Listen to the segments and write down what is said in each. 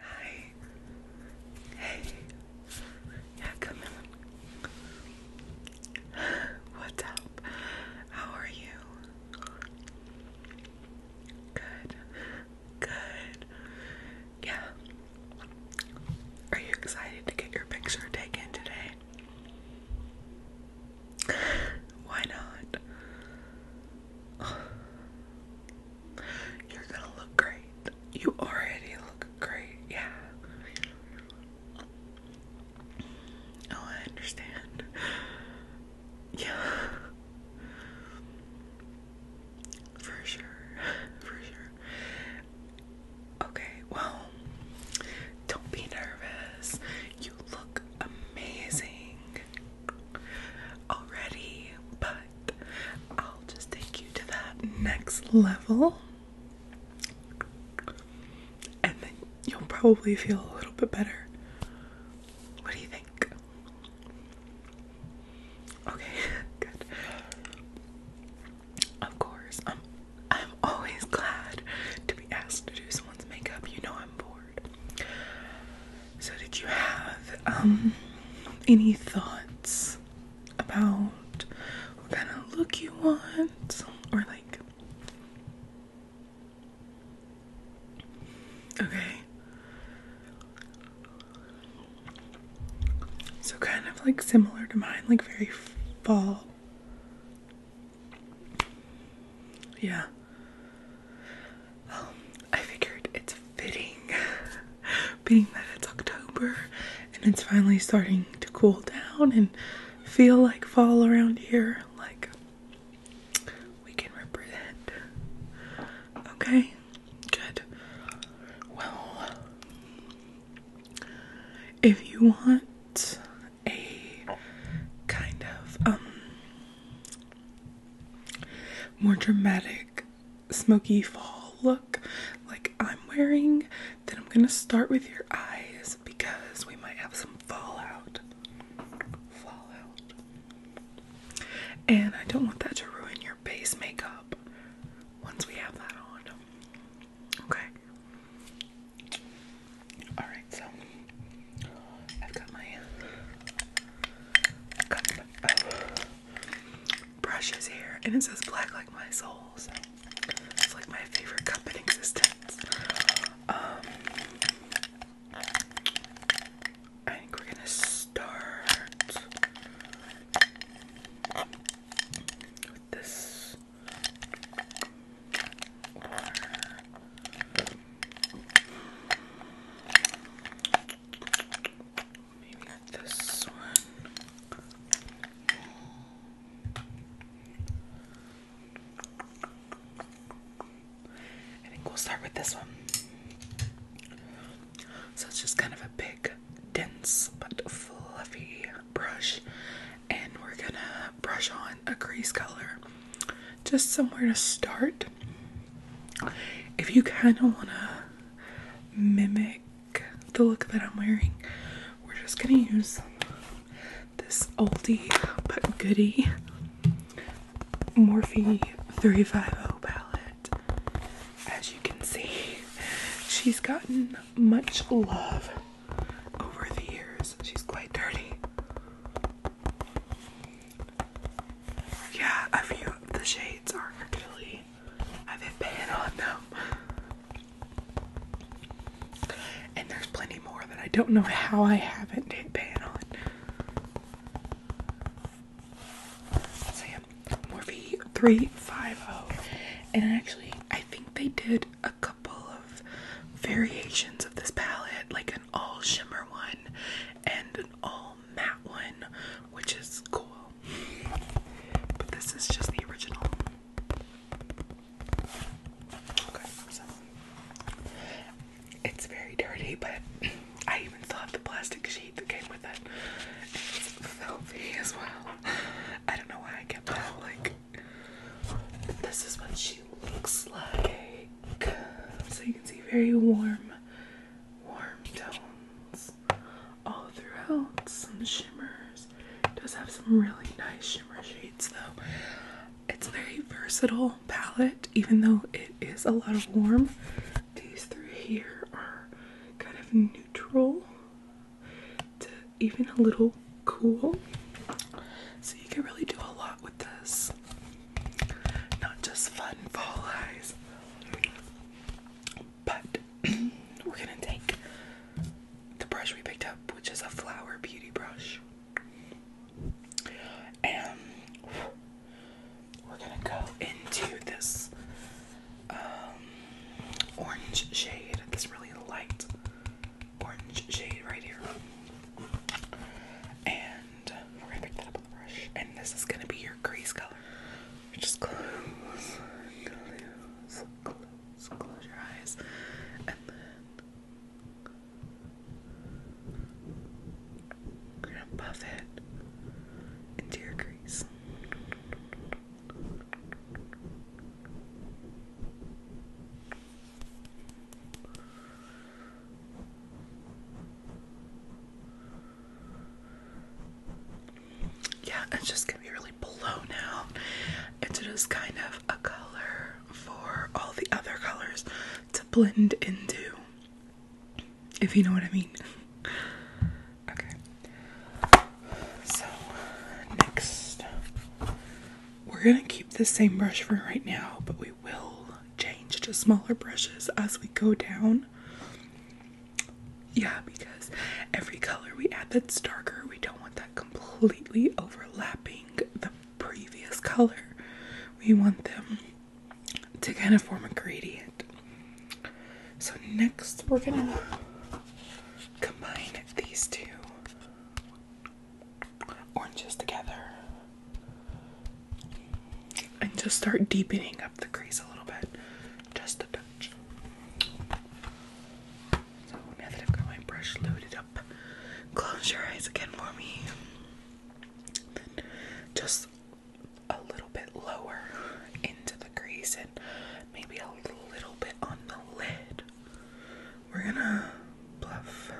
Hi. Hey. Yeah, come in. What's up? How are you? Good. Good. Yeah. Are you excited to get your picture taken today? Why not? You're gonna look great. You already look great, yeah. Oh, I understand. Yeah. For sure. For sure. Okay, well, don't be nervous. You look amazing already, but I'll just take you to that next level. And then you'll probably feel a little bit better. What do you think? Okay, good. Of course, I'm always glad to be asked to do someone's makeup. You know I'm bored. So, did you have um, any thoughts about what kind of look you want, or like? Okay. So, kind of like similar to mine, like very fall. Yeah. Um, I figured it's fitting, being that it's October and it's finally starting to cool down and feel like fall around here. Like we can represent. Okay, good. Well, if you want a kind of um more dramatic smoky fall look like I'm wearing, then I'm gonna start with your eyes because we might have some fallout. Fallout. And I don't want that to ruin your base makeup once we have that on. Okay. Alright, so I've got my brushes here, and it says black like my soul, like my favorite cup existence. Um, I think we're gonna start with this I think we'll start with this one. So it's just kind of a big, dense, but fluffy brush. And we're gonna brush on a crease color. Just somewhere to start if you kind of want to mimic the look that I'm wearing, we're just gonna use this oldie but goodie Morphe 350 palette. As you can see, she's gotten much love over the years. She's quite dirty. Yeah, a few of the shades are actually I've been paying on them. And there's plenty more that I don't know how I haven't hit pan on. So yeah, Morphe 350. And actually, I think they did a couple of variations of this palette, like an all shimmer one and an all that one, which is cool. But this is just the original. Okay, so it's very dirty, but I even still have the plastic sheet that came with it. It's filthy as well. I don't know why I kept that. Like, this is what she looks like. So you can see very warm warm tones all throughout, some shimmers. does have some really nice shimmer shades though. It's very versatile palette, even though it is a lot of warm. These three here are kind of neutral to even a little cool. So you can really do a lot with this. Not just fun fall eyes, but we're gonna take the brush we picked up, which is a flower beauty brush, and we're gonna go into this um, orange shade, this really light orange shade right here. And we're gonna pick that up and this is gonna be your crease color. Just close, close, close, your eyes, and then you're gonna buff it into your crease. Yeah, it's just gonna be really blown out. It's just kind of a color for all the other colors to blend into, if you know what I mean. Okay. So, next, we're gonna keep the same brush for right now, but we will change to smaller brushes as we go down. Yeah, because every color we add that's darker, we don't want that completely overlapping the previous color. We want them to kind of form a gradient. So, next we're gonna combine these two oranges together and just start deepening up the crease a little bit, just a touch. So now that I've got my brush loaded up, close your eyes again for me. just a little bit lower into the crease and maybe a little bit on the lid. We're gonna bluff,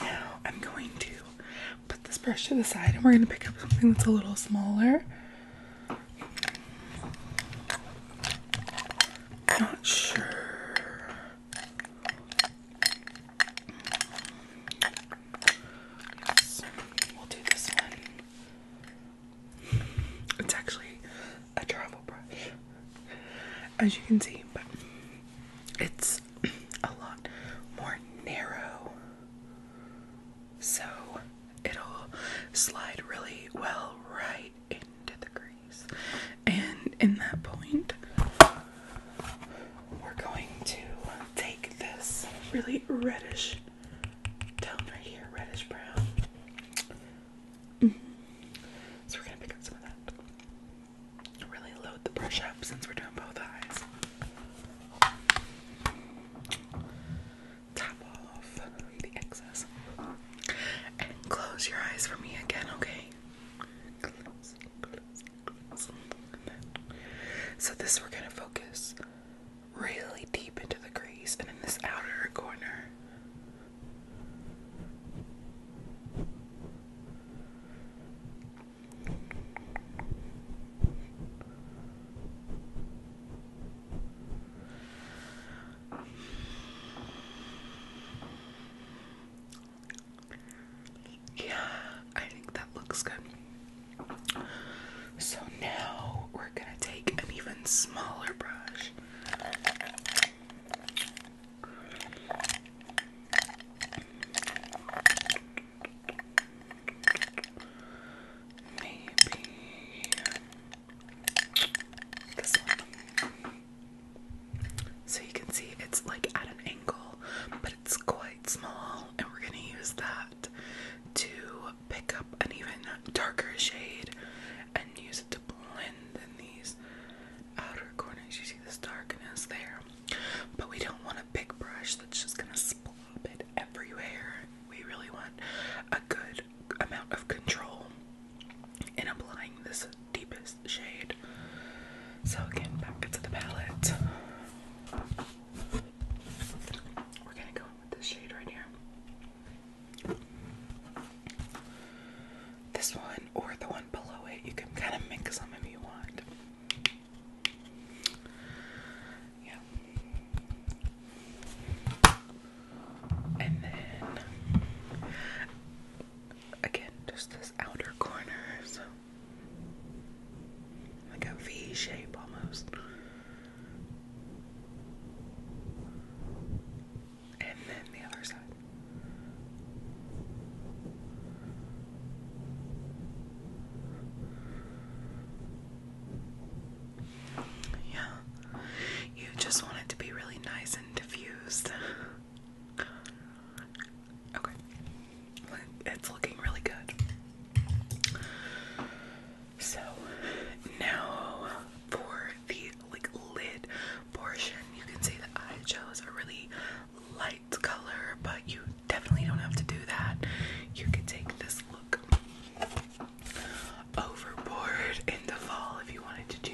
now I'm going to put this brush to the side and we're going to pick up something that's a little smaller. Not sure. Yes, we'll do this one. It's actually a travel brush, as you can see, but it's a lot more narrow, so it'll slide really well right into the crease. And in that point, we're going to take this really reddish tone right here, reddish brown. Mm-hmm. So we're gonna pick up some of that. Really load the brush up since we're doing both eyes tap off the excess. And close your eyes for me again, okay? So this we're gonna focus really deep into the crease and in this outer corner. Yeah, I think that looks good. So now we're gonna take an even smaller brush. Maybe so you can see it's like at an angle, but it's quite small, and we're gonna use that to pick up an even darker shade and use it to blend in these outer corners. You see this darkness there, but we don't want a big brush that's just gonna splop it everywhere. We really want a good amount of control in applying this deepest shade. So, again, back to the palette. We're gonna go with this shade right here. This one or the one below it, you can kind of mix them if you want. Yeah. And then again, just this outer corner, so like a V shape almost. And then the other side. Yeah. You just want it to be really nice and diffused. Okay. It's looking really good. So now for the like lid portion, you can see that I chose a really light color, but you definitely don't have to do that. You could take this look overboard in the fall if you wanted to do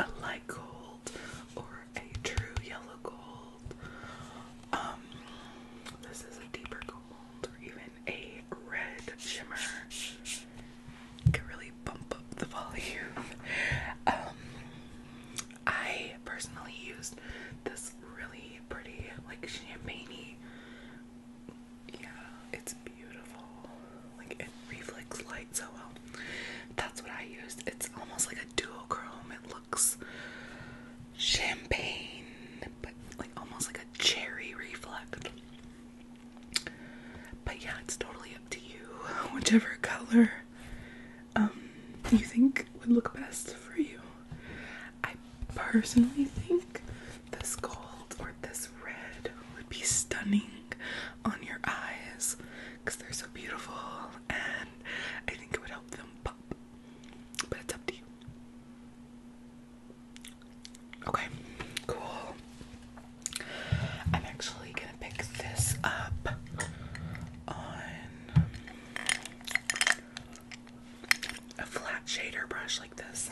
a light gold or a true yellow gold. Um, this is a deeper gold or even a red shimmer. Can really bump up the volume. Um, I personally used this really pretty, like champagne yeah, it's beautiful. Like it reflects light so well. That's what I used. It's almost like a duochrome. It looks champagne, but like almost like a cherry reflect. But yeah, it's totally up to you. Whichever color um you think would look best for you. I personally think this gold or this red would be stunning on your eyes because they're so beautiful and I think it would help them pop. But it's up to you. Okay, cool. I'm actually gonna pick this up on a flat shader brush like this.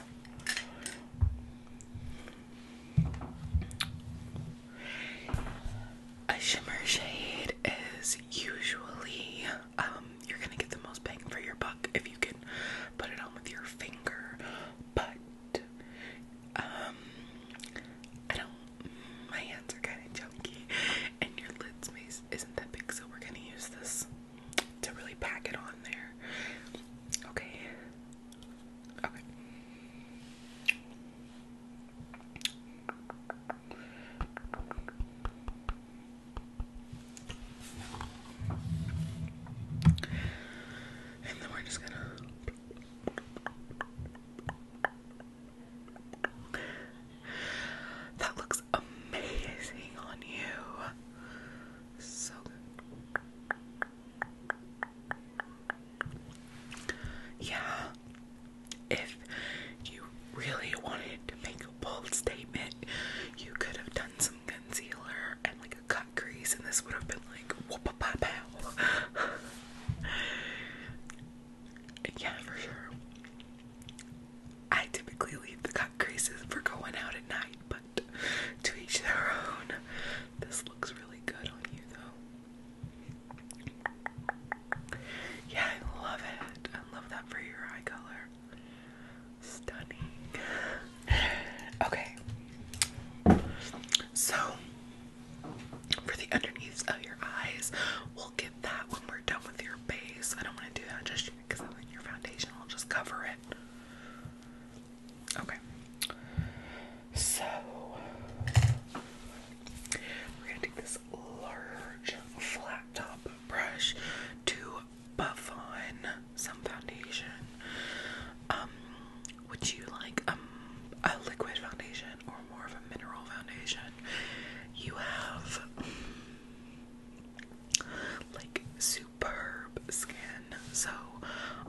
A shimmer shade is usually um you're gonna get the most bang for your buck if you can put it on with your finger, but um I don't my hands are kinda chunky and your lids may isn't that big so we're gonna use this to really pack it on there. Okay. Okay. And then we're just gonna that looks amazing on you. So good. Yeah. If you really wanted to make a bold statement, you could have done some concealer and like a cut crease, and this would have been like whoop a pow pow. yeah, for sure. I typically leave the cut creases for going out at night, to each their own. This looks really good on you though. Yeah, I love it. I love that for your eye color. Stunning. Okay. So for the underneath of your eyes, we'll get that when we're done with your base. I don't want to do that just foundation because I your foundation will just cover it. Okay. So we're gonna take this large flat top brush to buff on some foundation. Um, would you like um a liquid foundation or more of a mineral foundation? You have like Sue superb skin. So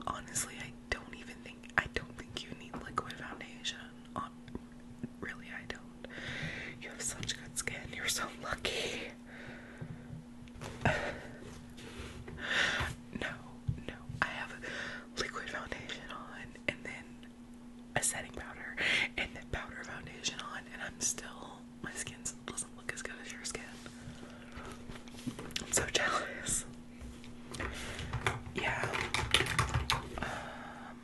honestly, I don't even think I don't think you need liquid foundation. really, I don't. You have such good skin. You're so lucky. no, no. I have liquid foundation on, and then a setting powder, and then powder foundation on, and I'm still my skin doesn't look as good as your skin. I'm so jealous. Yeah. Um,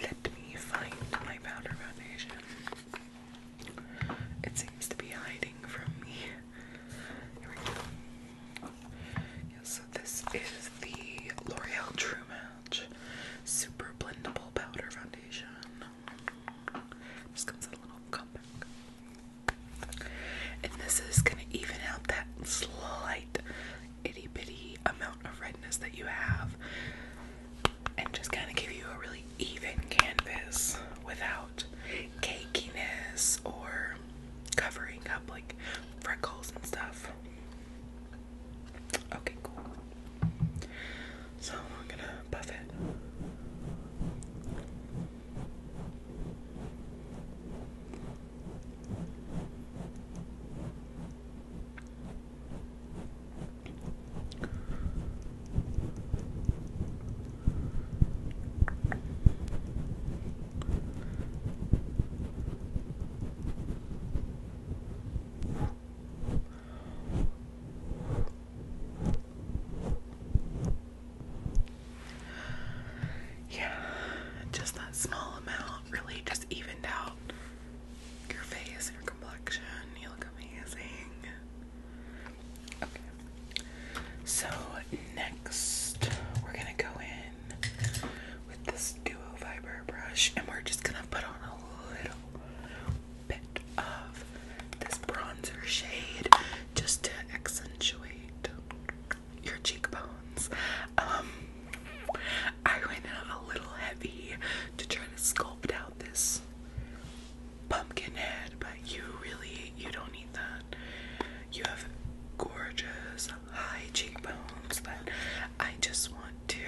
let me find my powder foundation. It seems to be hiding from me. Here we go. so this is the L'Oreal True Match Super Blendable Powder Foundation. Just comes a little comeback. And this is gonna even out that slight itty bitty amount of redness that you have and just kind of give you a really even canvas without cakiness or covering up like freckles and stuff. Okay, cool. So I'm gonna puff it. Yeah, just that small amount really just evened out your face your complexion. You look amazing. Okay. So next we're gonna go in with this duo fiber brush and we're just gonna put on a little bit of this bronzer shade just to accentuate your cheekbones. Um, I went a little heavy to try to sculpt out this pumpkin head, but you really you don't need that. You have gorgeous high cheekbones that I just want to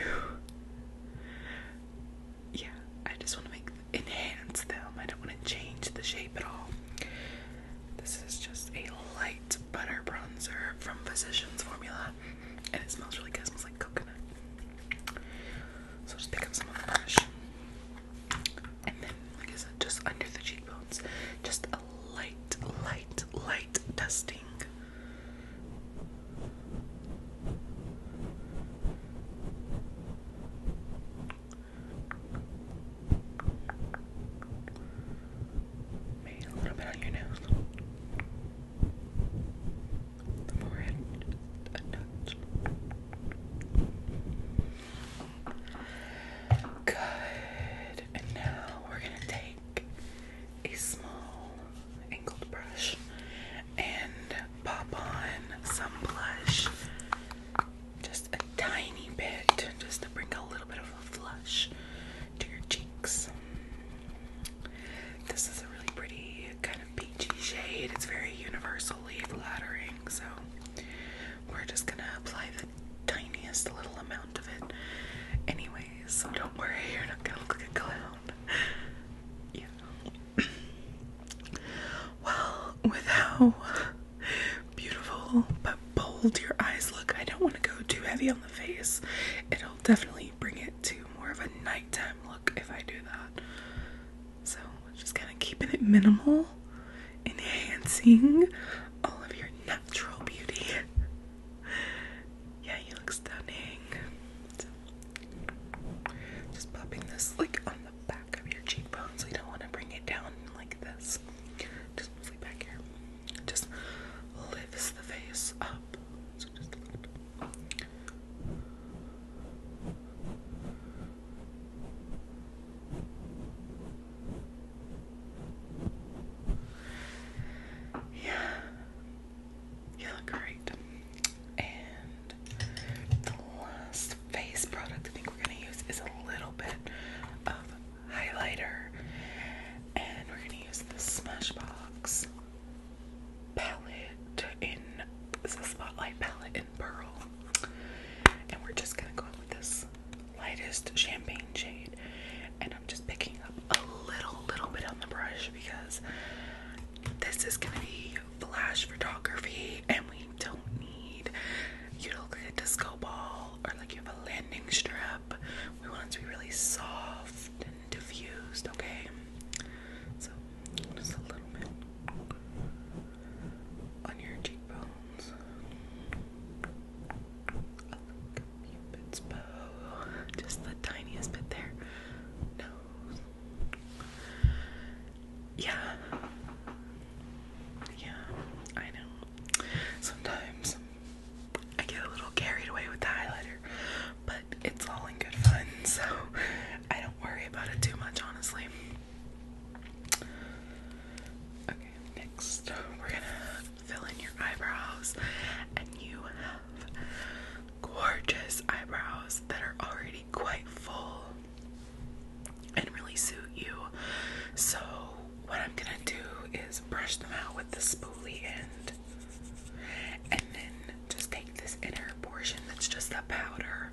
yeah, I just want to make enhance them. I don't want to change the shape at all. This is just a light butter bronzer from Physicians Formula, and it smells really good. smells like coconut. So just pick up some of the brush, and then like I said, just under the cheekbones, just a light, light, light dusting Maybe a little bit on your nose. The forehead, a touch. Good. And now we're gonna take a small angled brush and pop on some blush just a tiny bit just to bring a little bit of a flush to your cheeks. This is a really pretty kind of peachy shade. It's very universally flattering, so we're just gonna apply the tiniest little amount of it. Anyways, so don't worry, you're not gonna look like a clown. Yeah well, with how beautiful but bold your eyes look, I don't want to go too heavy on the face. It'll definitely bring it to more of a nighttime look if I do that. So, just kind of keeping it minimal, enhancing all of your natural beauty. Yeah, you look stunning. just popping this like on the back of your cheekbone, so don't want to bring it down like this. Just move back here. Just lifts the face up. So just Yeah, you look great. And the last face product I think we're going to use is a little bit of highlighter. And we're going to use the Smashbox palette in this a spotlight palette in pearl. And we're just going to go in with this lightest champagne shade. And I'm just picking up a little little bit on the brush because this is gonna be flash photography, and we don't need you to look like a disco ball or like you have a landing strip. We want it to be really soft and diffused, okay? So just a little bit on your cheekbones. A little cupid's Just the tiniest bit there. No, yeah. Yeah, I know. Sometimes I get a little carried away with the highlighter, but it's all in good fun, so I don't worry about it too much, honestly. Okay, next we're gonna fill in your eyebrows, and you have gorgeous eyebrows that are already quite full and really suit you. So, what I'm gonna do is brush them out with the spoolie end and then just take this inner portion that's just the powder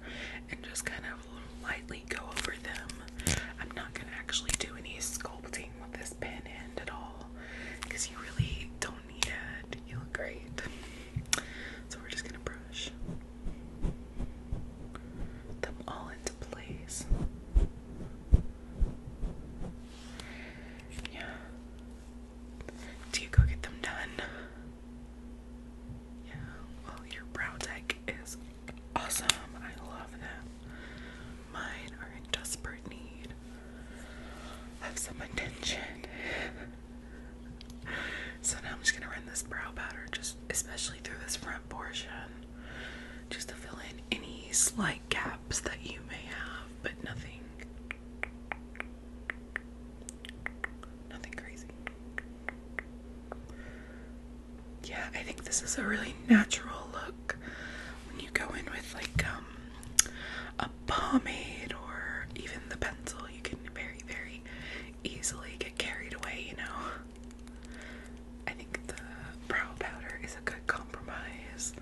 and just kind of lightly go over them. I'm not gonna actually do any sculpting with this pen end at all because you really don't you look great. So we're just gonna brush them all into place. Yeah. Do you go get them done? Yeah. Well, your brow tech is awesome. I love them. Mine are in desperate need have some attention. so now I'm just gonna run this brow powder, just especially through this front portion, just to fill in any slight gaps that you may have, but nothing. Nothing crazy. Yeah, I think this is a really natural look when you go in with like um, a pomade or even the pencil, you can very, very easily get carried away, you know. I think the brow powder is a good compromise.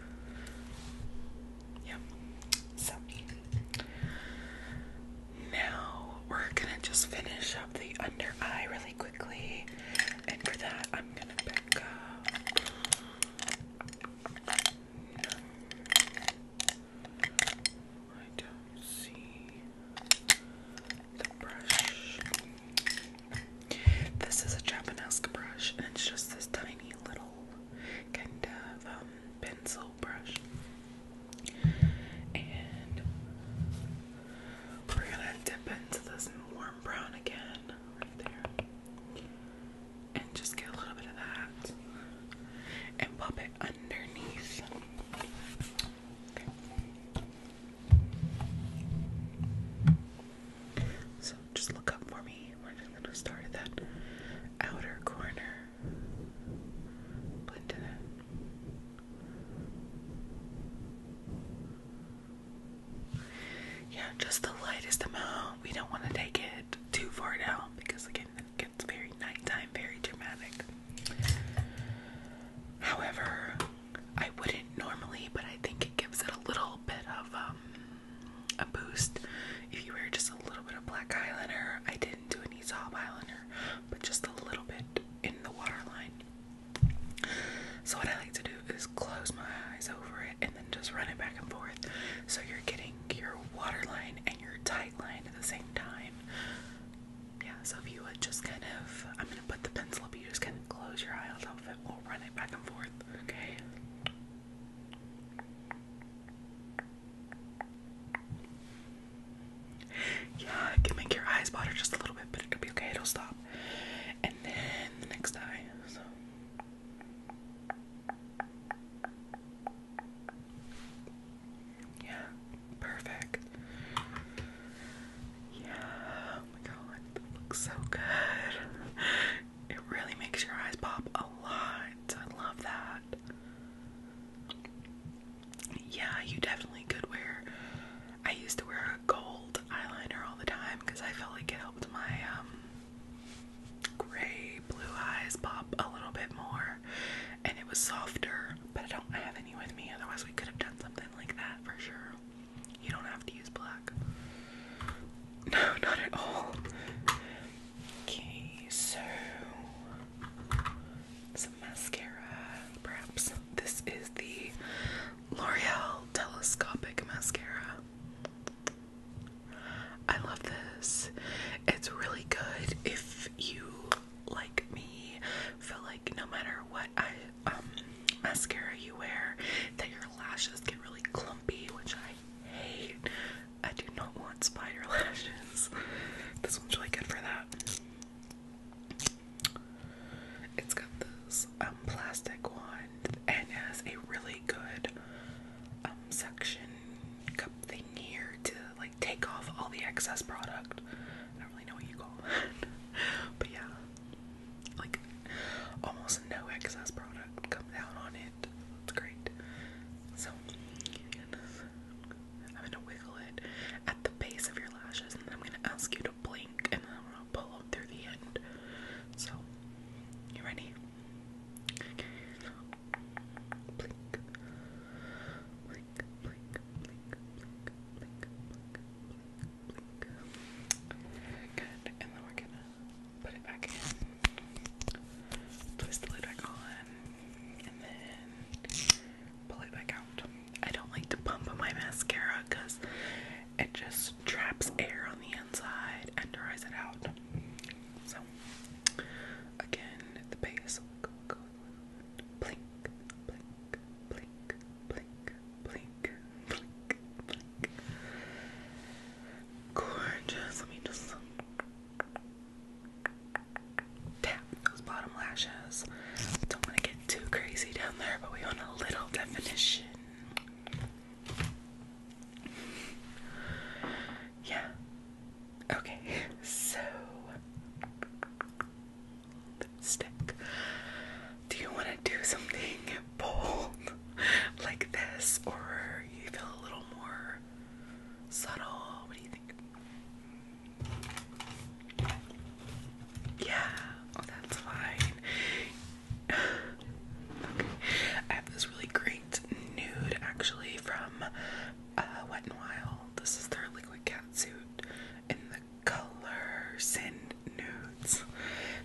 Yeah. So now we're gonna just finish up the under eye really quickly, and for that, I'm gonna pick up. I don't see the brush. This is a Japanese brush, and it's just this tiny little kind of um, pencil brush. And we're gonna dip into this warm brown again, right there and just get a little bit of that and pop it underneath. So just look up for me. We're just gonna start at that outer corner. Blend it in. Yeah, just the lightest amount. We don't want to take it too far down because again it gets very nighttime, very dramatic. However, I wouldn't normally, but I think it gives it a little bit of um, a boost if you wear just a little bit of black eyeliner. I didn't do any sob eyeliner, but just a little bit in the waterline. So what I like to do is close my eyes over it and then just run it back and forth. So you're getting your water line and your tight line at the same time. Yeah, so if you would just kind of, I'm gonna put the pencil up, you just kind of close your eyes on top of it, we'll run it back and forth, okay? Yeah, it can make your eyes water just a little bit, but it'll be okay, it'll stop. And then the next eye, yeah, perfect. Yeah, oh my god, that looks so good. It really makes your eyes pop a lot. I love that. Yeah, you definitely could wear. I used to wear a gold eyeliner all the time because I felt like it helped my um gray blue eyes pop a little bit more and it was softer, but I don't have any with me, otherwise we could have done something like that for sure. You don't have to use black. No, not at all. Okay, so some mascara, perhaps. This is the L'Oreal Telescopic Mascara. I love this. It's really good if you like me feel like no matter what um mascara you wear that your lashes get really clumpy, which I hate. I do not want spider lashes. This one's really good for that. It's got this um plastic wand and has a really good um, suction cup thing here to like take off all the excess product. I don't really know what you call that, but yeah, like almost no excess product comes out on it. It's great. So I'm gonna wiggle it at the base of your lashes, and then I'm gonna ask you to blink, and then I'm gonna pull them through the end. So, you ready? Blink. Blink, blink, blink, blink, blink, blink, blink, Good. And then we're gonna put it back in. Twist the lid back on. And then pull it back out. I don't like to pump on my mascara because it just traps air on the inside and dries it out. So, again, the base will blink, blink, blink, blink, blink, blink, blink. Gorgeous. Let me just tap those bottom lashes. Don't want to get too crazy down there, but we want a little definition. Yeah. Okay, so lipstick. Do you want to do something bold like this, or you feel a little more subtle? What do you think? Yeah, oh, that's fine okay. I have this really great nude actually from uh, Wet n Wild. This is their liquid catsuit in the color Sin Nudes.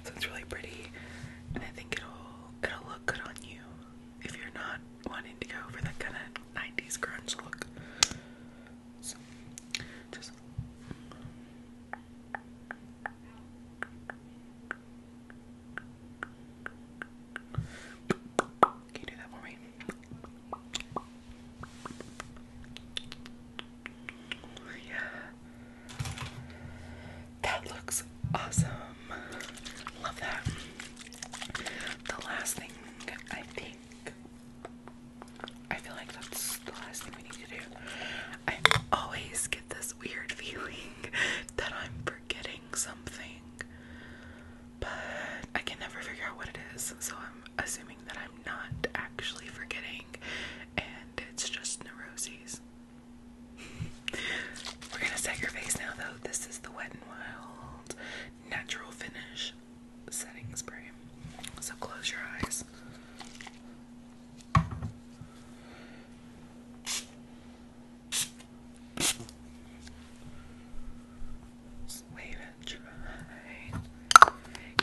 So it's really pretty, and I think it'll it'll look good on you if you're not wanting to go for that kind of 90s grunge look. So just can you do that for me? Yeah. That looks awesome. Love that. The last thing I think I feel like that's the last thing we need to do. I'm always this weird feeling that I'm forgetting something, but I can never figure out what it is, so I'm assuming that I'm not actually forgetting and it's just neuroses. We're gonna set your face now, though. This is the Wet n Wild Natural Finish Setting Spray. So close your eyes it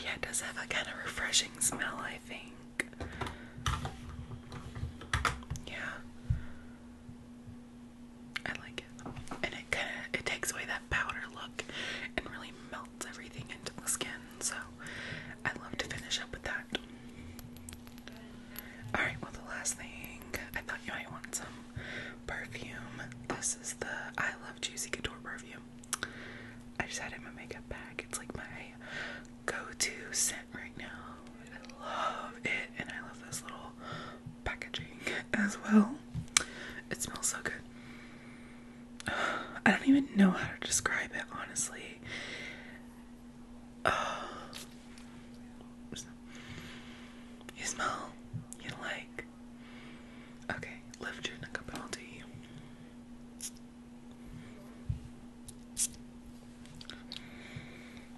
Yeah, it does have a kind of refreshing smell, I think. Yeah. I like it. And it kind of it takes away that powder look and really melts everything into the skin. So I love to finish up with that. Alright, well, the last thing I thought you might want some perfume. This is the I Love Juicy Couture perfume. I just had in my makeup bag. It's like my go to scent right now. I love it, and I love this little packaging as well. It smells so good. I don't even know how to describe it, honestly. Uh, you smell, you like. Okay, lift your neck up and I'll you.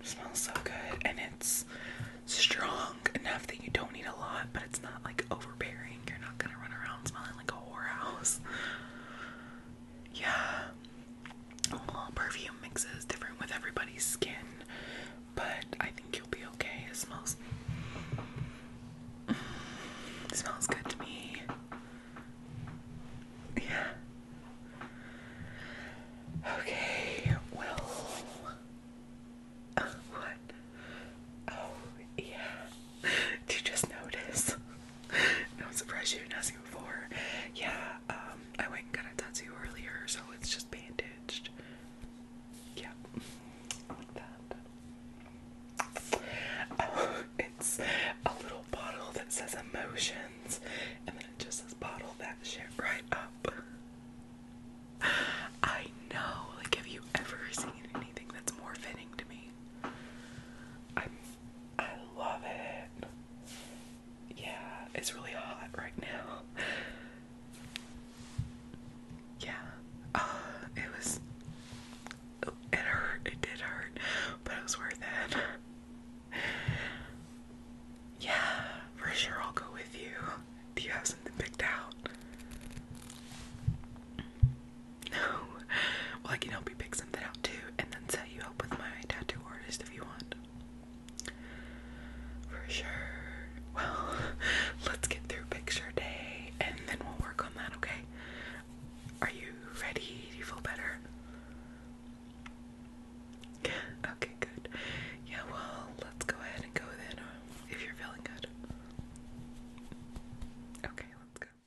smells so good and it's strong enough that you don't need a lot, but it's not like overbearing. You're not gonna run around smelling like a whorehouse yeah, well, perfume mixes different with everybody's skin, but I think you'll be okay. It smells, smells good to me. Yeah. Okay. Well. Uh, what? Oh yeah. Did you just notice? no surprise you didn't ask me before. Yeah, um, I went and got to you earlier, so it's just bandaged. Yeah, like that. it's a little bottle that says emotions, and then it just says bottle that shit right up. I know, like, have you ever seen anything that's more fitting to me? i I love it. Yeah, it's really hot right now. Yeah, uh, it was. It hurt. It did hurt, but it was worth it. Yeah, for sure I'll go with you. Do you have something picked out? No. Well, I can help you pick something out too, and then set you up with my tattoo artist if you want. For sure. Well, let's get through picture day and then we'll work on that, okay? Are you ready? Do you feel better? Okay, good. Yeah, well, let's go ahead and go then uh, if you're feeling good. Okay, let's go.